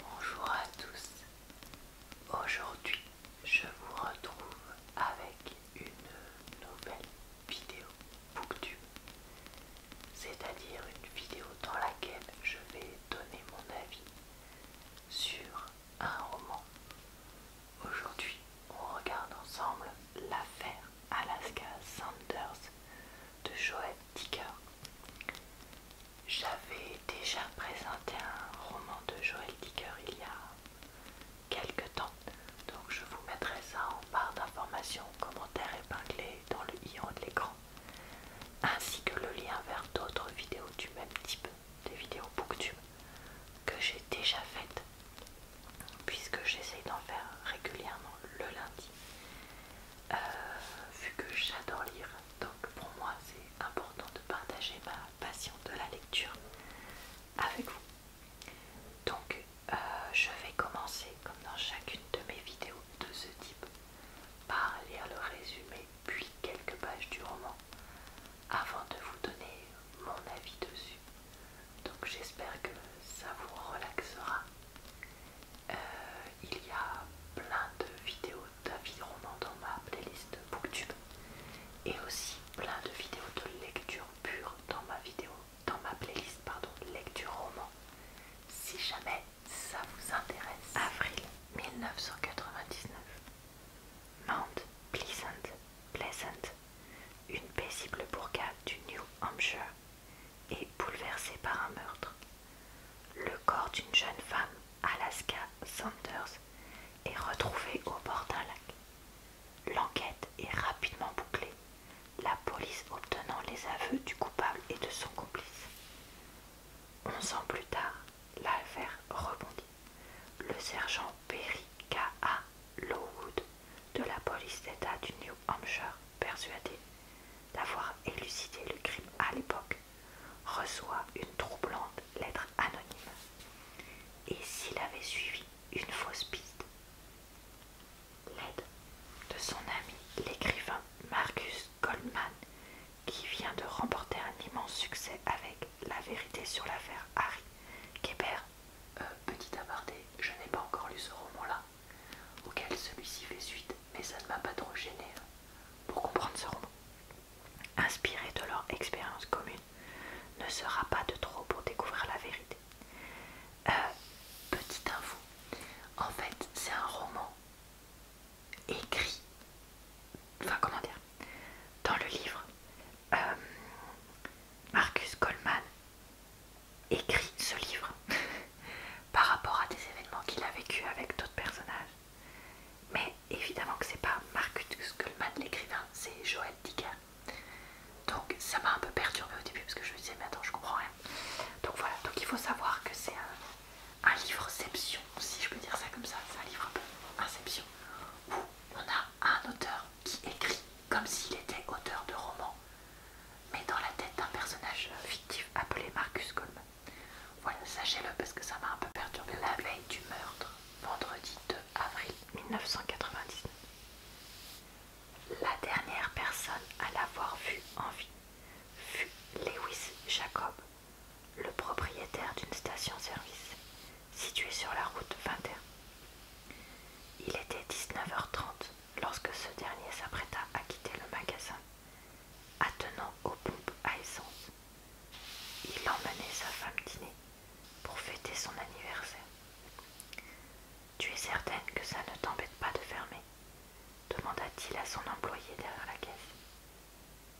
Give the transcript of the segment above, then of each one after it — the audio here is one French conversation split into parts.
Bonjour à tous. Aujourd'hui, je vous retrouve avec une nouvelle vidéo Booktube, c'est-à-dire une vidéo dans laquelle je vais donner mon avis sur un roman. Aujourd'hui, on regarde ensemble l'affaire Alaska Sanders de Joel Dicker. J'avais déjà présenté un roman de Joël Dicker il y a quelque temps, donc je vous mettrai ça en barre d'informations, commentaires épinglé dans le i en de l'écran, ainsi que le lien vers d'autres vidéos du même type, des vidéos booktube, que j'ai déjà faites, puisque j'essaye d'en faire régulièrement le lundi. Euh, vu que j'adore lire donc pour moi c'est important de partager ma passion de la lecture avec vous. Donc euh, je vais commencer comme dans chacune de mes vidéos de ce type par lire le résumé puis quelques pages du roman avant de vous donner mon avis dessus. Donc j'espère que ça vous relaxera euh, il y a plein de vidéos d'avis romans dans ma playlist Booktube et aussi plein de vidéos de lecture pure dans ma vidéo, dans ma playlist pardon, lecture roman. Si jamais ça vous intéresse. Avril 1999. Mount Pleasant, Pleasant, une paisible bourgade du New Hampshire est bouleversée par un meurtre. Le corps d'une jeune femme, Alaska Sanders, est retrouvé au bord d'un lac. L'enquête est rapidement bouclée, la police obtenant les aveux du coupable et de son complice. Onze ans plus tard, l'affaire rebondit. Le sergent Perry K.A. Lowood de la police d'État du New Hampshire, persuadé d'avoir élucidé le crime à l'époque, reçoit une troublante lettre anonyme. Et s'il avait suivi une fausse piste L'aide de son ami, l'écrivain Marcus Goldman, qui vient de remporter un immense succès avec La vérité sur l'affaire Harry Keper euh, petit aparté, je n'ai pas encore lu ce roman-là auquel celui-ci fait suite, mais ça ne m'a pas trop gêné hein. pour comprendre ce roman. Inspiré de leur expérience commune, ne sera pas de trop pour découvrir la vérité. Euh, petite info, en fait c'est un roman écrit, enfin comment dire, dans le livre, euh, Marcus Coleman écrit ce livre. par rapport à des événements qu'il a vécu avec d'autres personnages. Mais évidemment que c'est pas Marcus Goldman l'écrivain, c'est Joël Dicker. Donc ça m'a un peu perturbé au début parce que je me disais mais attends je comprends rien. Donc voilà, donc il faut savoir que c'est un, livre livreception, si je peux dire ça comme ça, c'est un livre un peu inception, où on a un auteur qui écrit comme s'il était auteur de roman, mais dans la tête d'un personnage fictif appelé Marcus Goldman. Voilà, sachez-le parce que ça m'a un peu perturbé la veille du meurtre, vendredi 2 avril 1999. La dernière personne à l'avoir vu en vie fut Lewis Jacob, le propriétaire d'une station-service située sur la route 21. Il était 19h30 lorsque ce dernier s'apprêta à quitter le magasin attenant aux pompes à essence. Il emmenait sa femme dîner pour fêter son anniversaire. Tu es certaine que ça ne t'embête pas de fermer demanda-t-il à son employé derrière la caisse.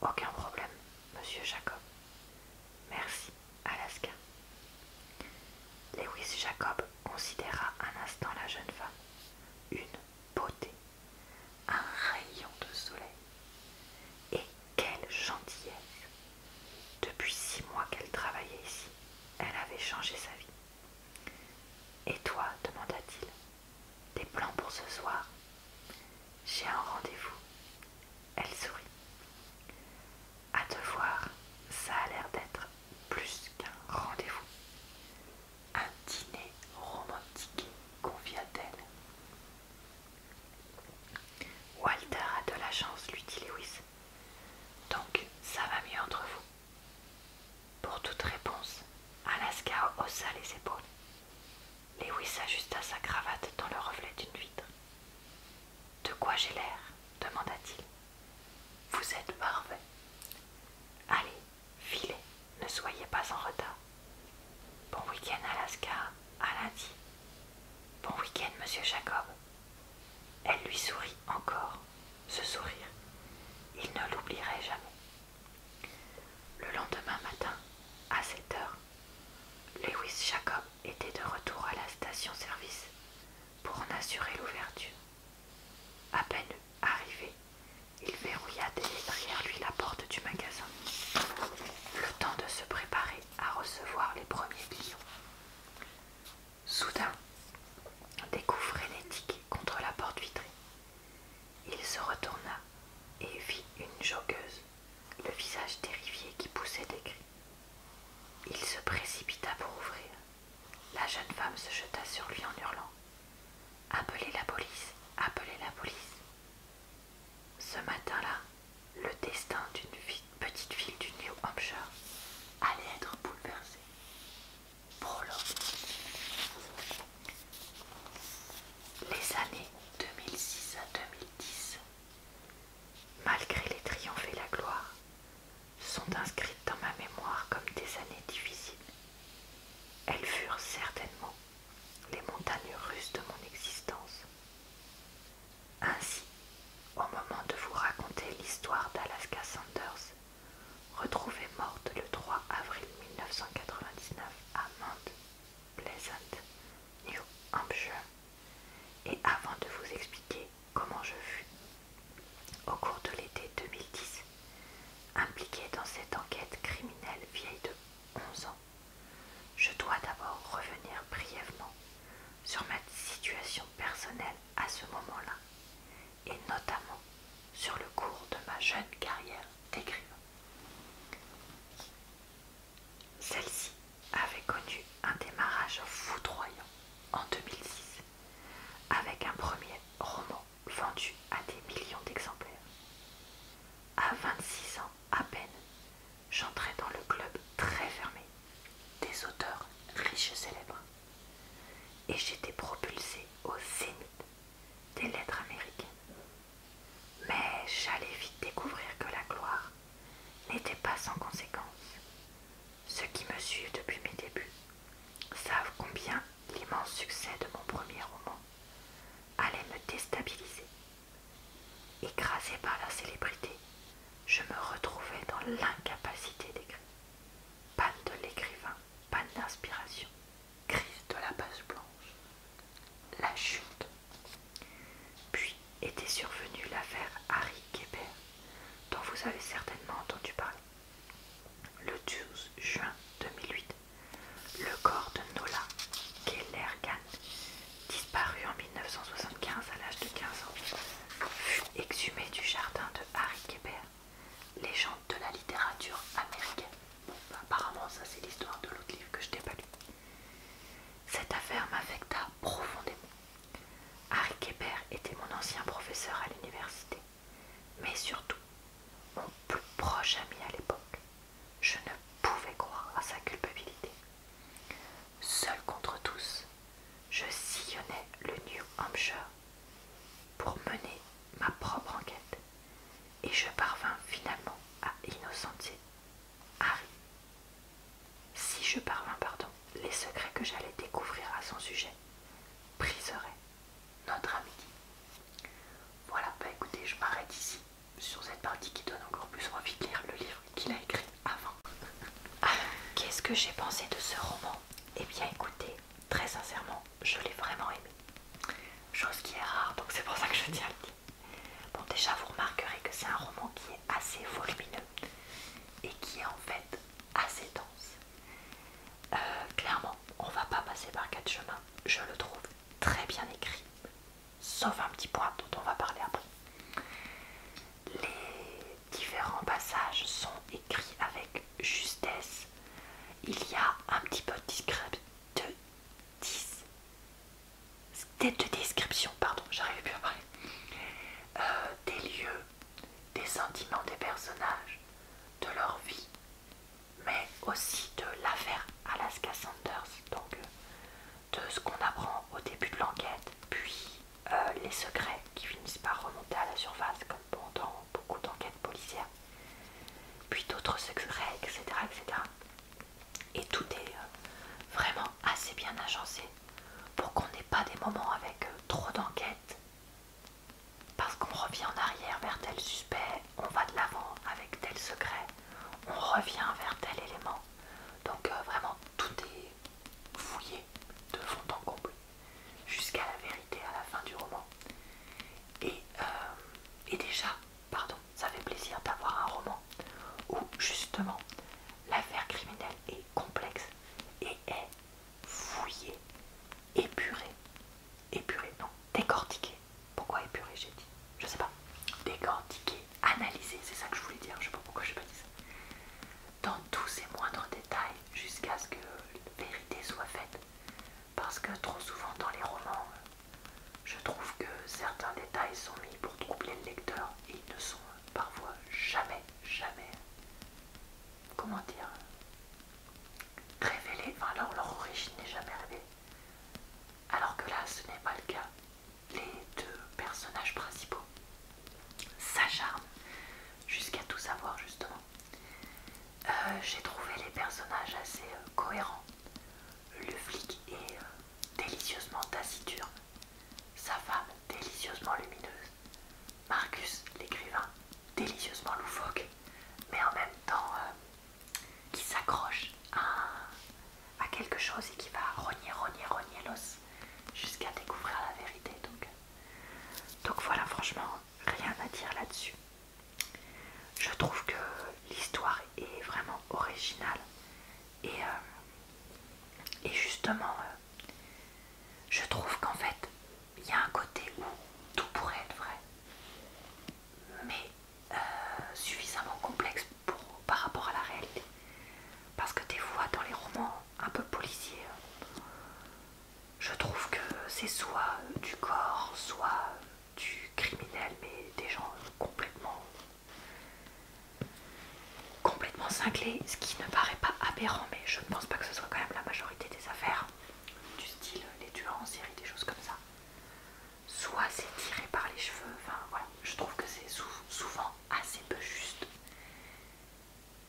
Aucun problème, monsieur Jacob. Merci, Alaska. Lewis Jacob considéra un instant la jeune femme, une beauté, un rayon de soleil. Et quelle gentillesse Depuis six mois qu'elle travaillait ici, elle avait changé sa vie. Et toi demanda-t-il. Tes plans pour ce soir J'ai un rendez-vous. Elle sourit. À te voir, ça a l'air d'être plus qu'un rendez-vous. Un dîner romantique, confia-t-elle. Walter a de la chance, lui dit Lewis. Donc, ça va mieux entre vous. Pour toute réponse, Alaska haussa les épaules. Lewis ajusta sa cravate dans le reflet d'une vitre. De quoi j'ai l'air demanda-t-il. Vous êtes parfait. Allez, filez, ne soyez pas en retard. Bon week-end Alaska, à lundi. Bon week-end monsieur Jacob. Elle lui sourit encore, ce sourire. Il ne l'oublierait jamais. Le lendemain matin, à 7 heures, Lewis Jacob était de retour à la station-service pour en assurer l'ouverture. À peine Arrivé, il verrouilla derrière lui la porte du magasin. Le temps de se préparer à recevoir les premiers clients. Soudain, des coups frénétiques contre la porte vitrée. Il se retourna et vit une jogueuse, le visage terrifié qui poussait des cris. Il se précipita pour ouvrir. La jeune femme se jeta sur lui en hurlant. Appelez la police, appelez la police. Ce matin-là, le destin d'une petite ville du New Hampshire allait être bouleversé. Prologue. Les années 2006 à 2010, malgré les triomphes et la gloire, sont inscrites dans ma mémoire comme des années difficiles elles furent certainement les montagnes russes de mon existence. Ainsi, au moment de vous raconter l'histoire d'Alaska Sanders, retrouvée morte le 3 avril 1999 à Mount Pleasant, New Hampshire, et avant de vous expliquer comment je fus, au cours de l'été 2010, impliquée dans cette enquête criminelle vieille de 11 ans, je dois d'abord revenir brièvement sur ma situation personnelle à ce moment-là, et notamment sur le cours de ma jeune carrière d'écrivain. Celle-ci avait connu un démarrage foudroyant en 2006 avec un premier roman vendu à des millions d'exemplaires. À 26 ans à peine, j'entrais dans le club très fermé des auteurs riches et célèbres. Et j'étais propulsée au zénith des lettres américaines. Mais j'allais vite découvrir que la gloire n'était pas sans conséquence. Ceux qui me suivent depuis mes débuts savent combien l'immense succès de mon premier roman allait me déstabiliser. Écrasé par la célébrité, je me retrouvais dans l'incapacité d'écrire. Panne de l'écrivain, panne d'inspiration, crise de la page blanche, la chute. Puis était survenue l'affaire Harry Kéber, dont vous avez certainement entendu parler. Le 12 juin 2008, le corps de Nola Kellergan, disparu en 1975 à l'âge de 15 ans, fut exhumé du jardin de Harry Kéber, légende de la littérature américaine. apparemment, ça c'est l'histoire de l'autre livre que je n'ai pas lu. Cette affaire m'affecta profondément. Harry Kéber était mon ancien professeur à l'université mais surtout mon plus proche ami à l'époque. Je ne pouvais croire à sa culpabilité. Seul contre tous, je sillonnais le New Hampshire pour mener ma propre enquête et je parvins finalement à innocenter Harry. Si je parvins, pardon, les secrets que j'allais découvrir à son sujet briseraient notre ami. Voilà, bah écoutez, je m'arrête ici sur cette partie qui donne encore plus envie de lire le livre qu'il a écrit avant. qu'est-ce que j'ai pensé de ce roman et eh bien écoutez, très sincèrement, je l'ai vraiment aimé. Chose qui est rare, donc c'est pour ça que je tiens à le dire. Bon déjà, vous remarquerez que c'est un roman qui est assez volumineux et qui est en fait assez dense. Euh, clairement, on va pas passer par quatre chemins. Je le trouve très bien écrit, sauf un petit point dont on va parler après. Les différents passages sont écrits avec justesse. Il y a un petit peu de, description, pardon, j'arrive plus à parler, euh, des lieux des sentiments des personnages, de leur vie, mais aussi de l'affaire Alaska Sanders, donc euh, de ce qu'on apprend au début de l'enquête, puis euh, les secrets qui finissent par remonter à la surface, comme pendant beaucoup d'enquêtes policières, puis d'autres secrets, etc., etc. Et tout est euh, vraiment assez bien agencé pour qu'on n'ait pas des moments avec trop d'enquêtes parce qu'on revient en arrière vers tel suspect, on va de l'avant avec tel secret, on revient vers tel élément. Donc euh, vraiment tout est fouillé de fond en comble jusqu'à la vérité à la fin du roman. Et, euh, et déjà, pardon, ça fait plaisir d'avoir un roman où justement l'affaire criminelle est complexe et est fouiller, épurer, épurer, non, décortiquer. Pourquoi épurer, j'ai dit Je sais pas. Décortiquer, analyser, c'est ça que je voulais dire, je sais pas pourquoi je pas dit ça. Dans tous ces moindres détails, jusqu'à ce que la vérité soit faite. Parce que trop souvent dans les romans, je trouve que certains détails sont mis pour troubler le lecteur et ils ne sont parfois jamais, jamais, comment dire, Révélés. enfin leur, origine n'est jamais révélée. Alors que là, ce n'est pas le cas. Les deux personnages principaux s'acharnent jusqu'à tout savoir, justement. Euh, j'ai trouvé les personnages assez euh, cohérents. Le flic est euh, délicieusement taciturne, sa femme délicieusement lumineuse, Marcus, l'écrivain, délicieusement loufoque, mais en même temps euh, qui s'accroche à, quelque chose et qui va rogner, rogner, rogner l'os jusqu'à découvrir la vérité. Donc, donc voilà, franchement, rien à dire là-dessus. Je trouve que l'histoire est vraiment originale et, euh, et justement, euh, je trouve qu'en fait, il y a un côté où tout pourrait être vrai, mais euh, suffisamment complexe par rapport à la réalité. Parce que des fois, dans les romans un peu policiers, je trouve que c'est soit du corps, soit du criminel, mais des gens complètement complètement cinglés, ce qui ne paraît pas aberrant, mais je ne pense pas que ce soit quand même la majorité des affaires du style les tueurs en série, des choses comme ça. Soit c'est tiré par les cheveux, enfin voilà, je trouve que c'est souvent assez peu juste.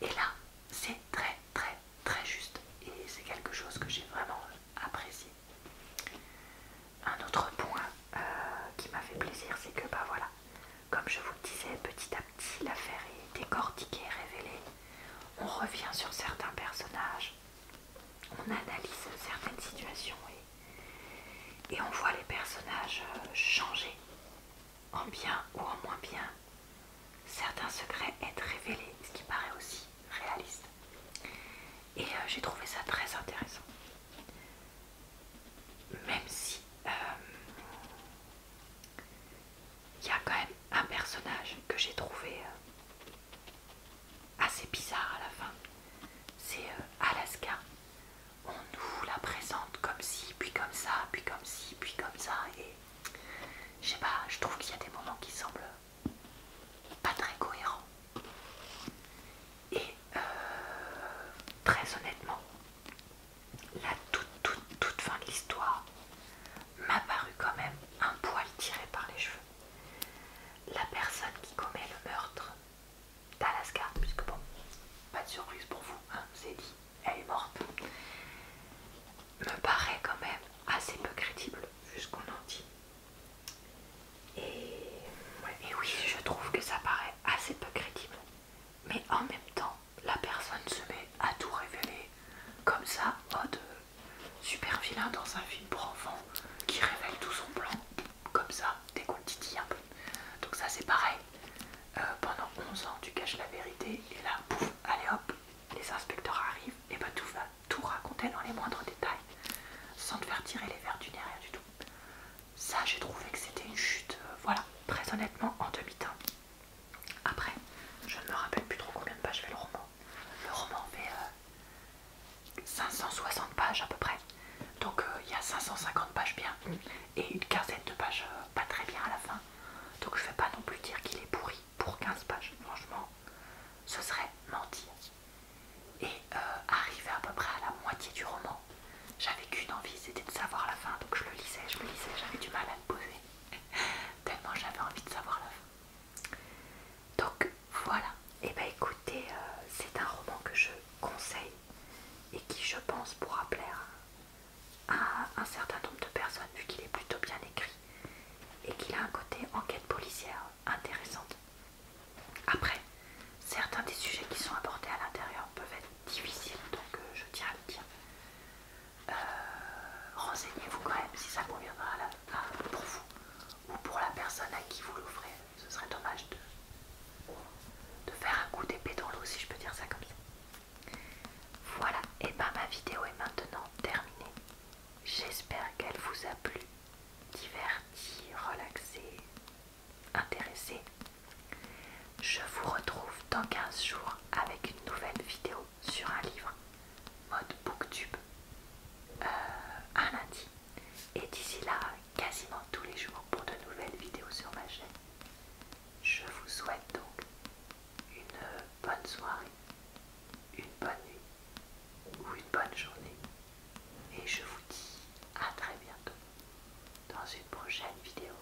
Et là, c'est très très très juste et c'est quelque chose que j'ai vraiment apprécié. Un autre point euh, qui m'a fait plaisir, c'est que bah voilà, comme je vous le disais, petit à petit, si l'affaire est décortiquée, révélée, on revient sur certains personnages, on analyse certaines situations et, on voit les personnages euh, changer, en bien ou en moins bien. Certains secrets être révélés, ce qui paraît aussi réaliste. Et euh, j'ai trouvé ça très intéressant. Même si... Euh, il y a quand même un personnage que j'ai trouvé euh, assez bizarre à la fin. C'est euh, Alaska. On nous la présente comme si, puis comme ça, puis comme si, puis comme ça. Et je sais pas, je trouve qu'il y a des moments qui semblent pas très cohérents. Et euh, très honnêtement, la toute, toute, toute fin de l'histoire, m'apparut quand même un poil tiré par les cheveux. La personne qui commet le meurtre d'Alaska, puisque bon, pas de surprise pour vous, hein, c'est dit, elle est morte, me paraît quand même assez peu crédible, vu ce qu'on en dit. et oui, je trouve que ça paraît assez peu crédible. Mais en même temps, la personne se met à tout révéler comme ça, mode euh, super vilain dans un film pour enfants qui révèle tout son plan comme ça, des un peu. Donc ça c'est pareil. Euh, pendant 11 ans tu caches la vérité et là pouf, allez hop, les inspecteurs arrivent et bah tout va tout raconter dans les moindres détails sans te faire tirer les verres du nez, rien du tout. Ça j'ai trouvé que c'était une chute, euh, voilà, très honnêtement en demi temps après, je ne me rappelle plus trop combien de pages fait le roman. Le roman fait 560 euh, pages à peu près. Donc euh, il y a 550 pages bien et une quinzaine de pages euh, pas très bien à la fin. Donc je ne vais pas non plus dire qu'il est pourri pour 15 pages. Franchement, ce serait mentir. Et arrivé à peu près à la moitié du roman, j'avais qu'une envie, c'était de savoir la fin. Donc je le lisais, je le lisais, j'avais du mal à me poser. Tellement j'avais envie de savoir l'œuvre Donc voilà. Et eh ben écoutez, euh, c'est un roman que je conseille et qui je pense pourra plaire à un certain nombre de personnes vu qu'il est plutôt bien écrit et qu'il a un côté enquête policière intéressante. Après, certains des sujets qui sont abordés à l'intérieur peuvent être difficiles, donc euh, je tiens à le dire. Euh, renseignez-vous quand même si ça conviendra pour vous ou pour la personne à qui vous l'ouvrez Ce serait dommage de, de faire un coup d'épée dans l'eau, si je peux dire ça comme ça. Voilà, et ben ma vidéo est maintenant terminée. J'espère qu'elle vous a plu, divertie, relaxée, intéressée. Je vous retrouve dans 15 jours avec une nouvelle vidéo sur un livre mode booktube euh, un lundi et d'ici là quasiment tous les jours pour de nouvelles vidéos sur ma chaîne. Je vous souhaite donc une bonne soirée, une bonne nuit ou une bonne journée et je vous dis à très bientôt dans une prochaine vidéo.